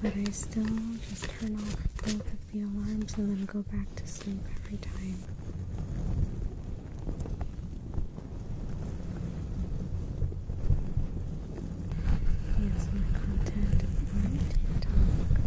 But I still just turn off both of the alarms and then go back to sleep every time. Here's my content on TikTok.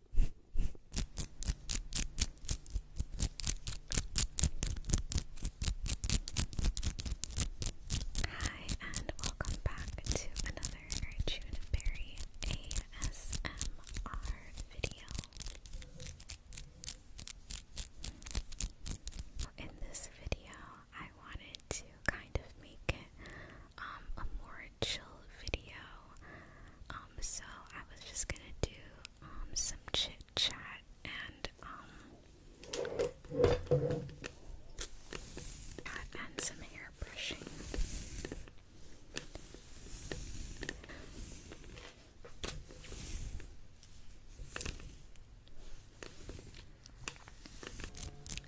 Hi, and welcome back to another Juneberry ASMR video. In this video, I wanted to kind of make it um, a more chill video. Um, so I was just gonna do um, some chit chat and um, and some hair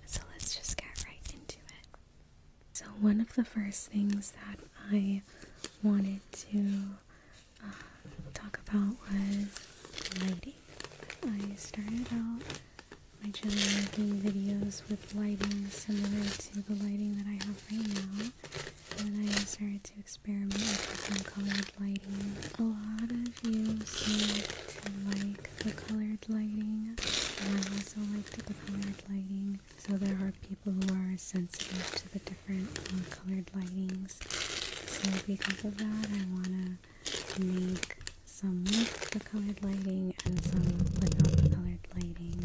So let's just get right into it. So, one of the first things that I wanted to uh, talk about was lighting. I started out my channel making videos with lighting similar to the lighting that I have right now. And I started to experiment with different colored lighting. A lot of you seem to like the colored lighting. And I also like the colored lighting lighting. So there are people who are sensitive to the different um, colored lightings. So because of that, I want to make some with the colored lighting and some without the colored lighting.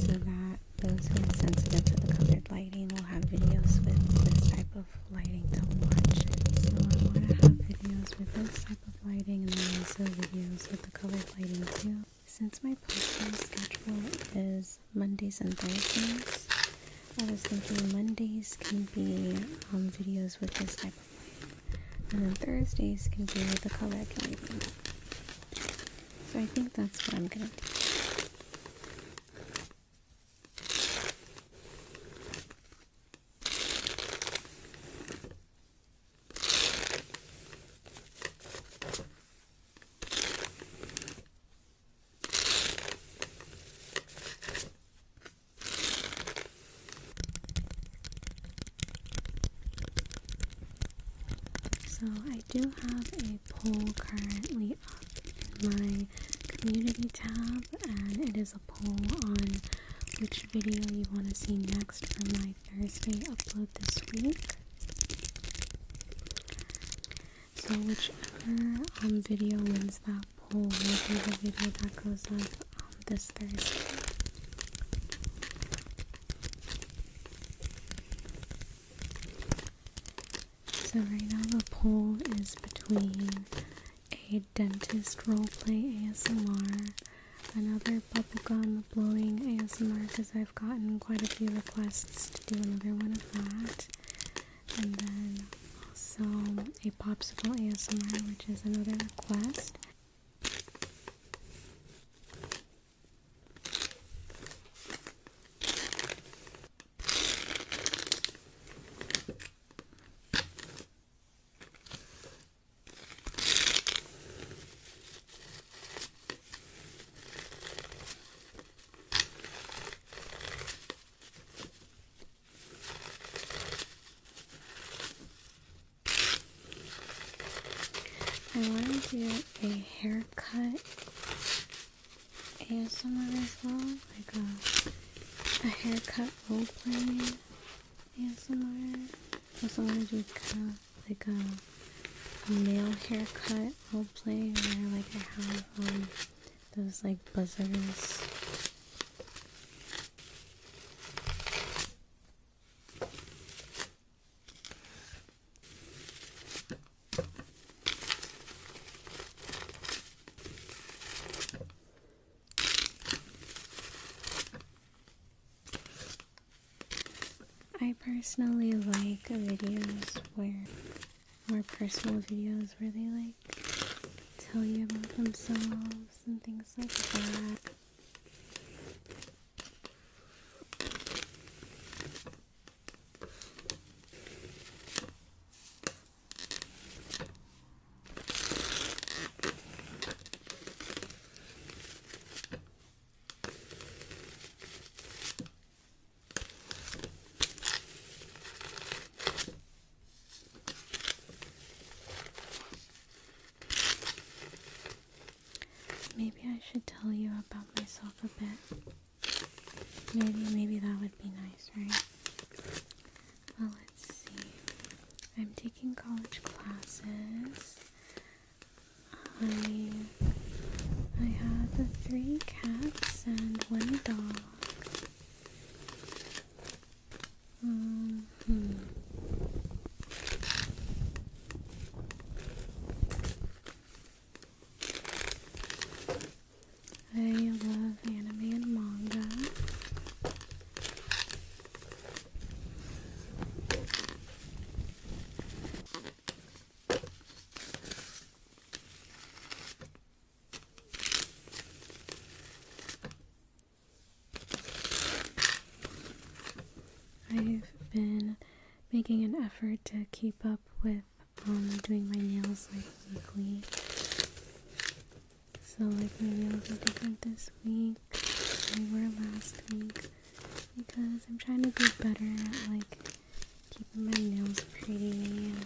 So that those who are sensitive to the colored lighting will have videos with this type of lighting to watch. So I want to have videos with this type of lighting and then also videos with colored lighting too. Since my posting schedule is Mondays and Thursdays, I was thinking Mondays can be um, videos with this type of thing, and then Thursdays can be the colored lighting. So I think that's what I'm gonna do. So, I do have a poll currently up in my community tab, and it is poll on which video you want to see next for my Thursday upload this week. So whichever um, video wins that poll will be the video that goes up um, this Thursday. So right now the poll is between a dentist roleplay ASMR, another bubble gum blowing ASMR because I've gotten quite a few requests to do another one of that, and then also a popsicle ASMR, which is another request. I want to do a haircut ASMR as well, like a, a haircut role playing ASMR. I also want to do kind of like a, a male haircut role play where like I have um, those like buzzers. I personally like videos where, more personal videos where they like tell you about themselves and things like that. Maybe I should tell you about myself a bit. Maybe, maybe that would be nice, right? Well, let's see. I'm taking college classes. I I have three cats and one dog. Mm-hmm. I love anime and manga. I've been making an effort to keep up with um, doing my nails like weekly. So like maybe I'll be different this week than we were last week because I'm trying to do better at like keeping my nails pretty and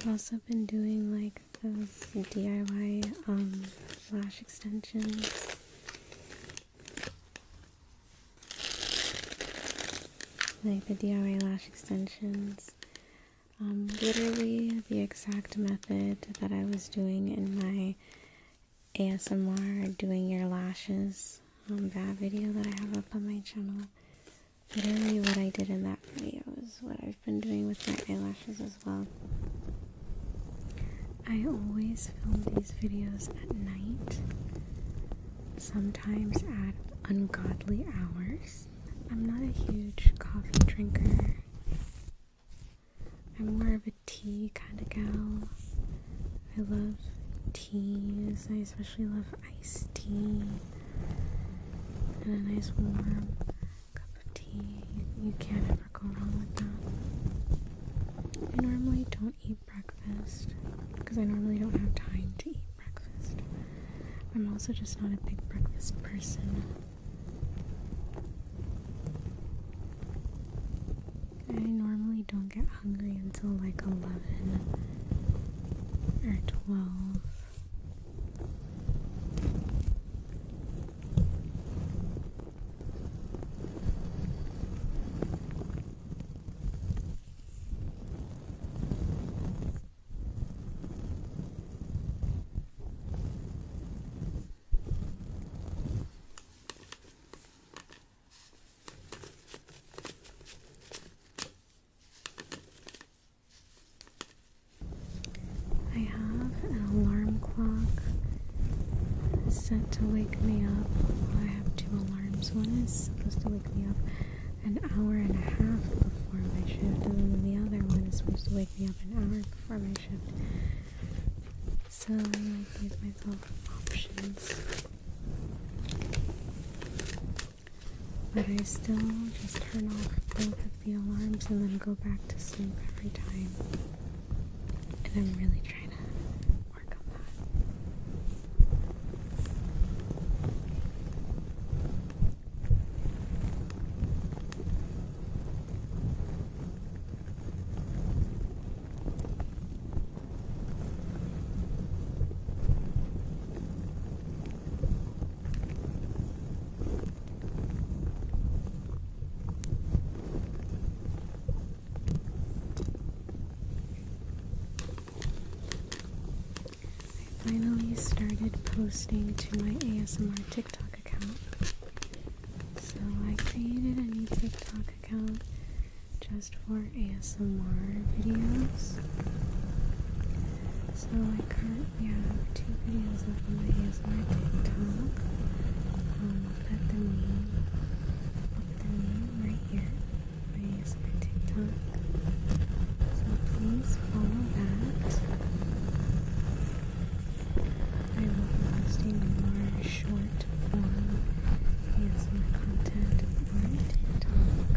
I've also been doing like those DIY um, lash extensions like the DIY lash extensions. Um, literally the exact method that I was doing in my ASMR doing your lashes um, that video that I have up on my channel. Literally what I did in that video is what I've been doing with my eyelashes as well. I always film these videos at night, sometimes at ungodly hours. I'm not a huge coffee drinker, I'm more of a tea kind of gal. I love teas, I especially love iced tea and a nice warm cup of tea. You, can't I normally don't eat breakfast because I normally don't have time to eat breakfast. I'm also just not a big breakfast person. I normally don't get hungry until like 11 or 12. I have an alarm clock set to wake me up. I have two alarms. One is supposed to wake me up an hour and a half before my shift, and then the other one is supposed to wake me up an hour before my shift. So I like, gave myself options. But I still just turn off both of the alarms and then go back to sleep every time. And I'm really trying to work on that. I finally started posting to my ASMR TikTok account. So I created a new TikTok account just for ASMR videos. So I currently have two videos of the. my is my TikTok. Um, put the name, put the name right here. my TikTok? So please follow that. I will be posting more short form ASMR content on TikTok.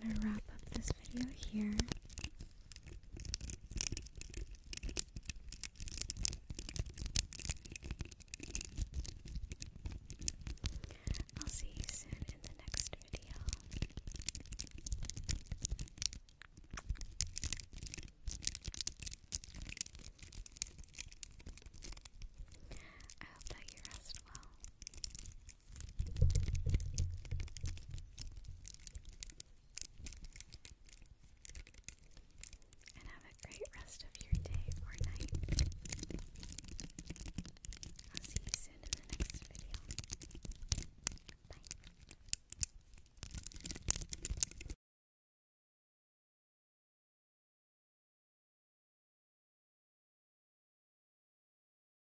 I'm going to wrap up this video here. I'll see you soon in the next video. I hope that you rest well. And have a great rest of your day or night. I'll see you soon in the next video. Bye.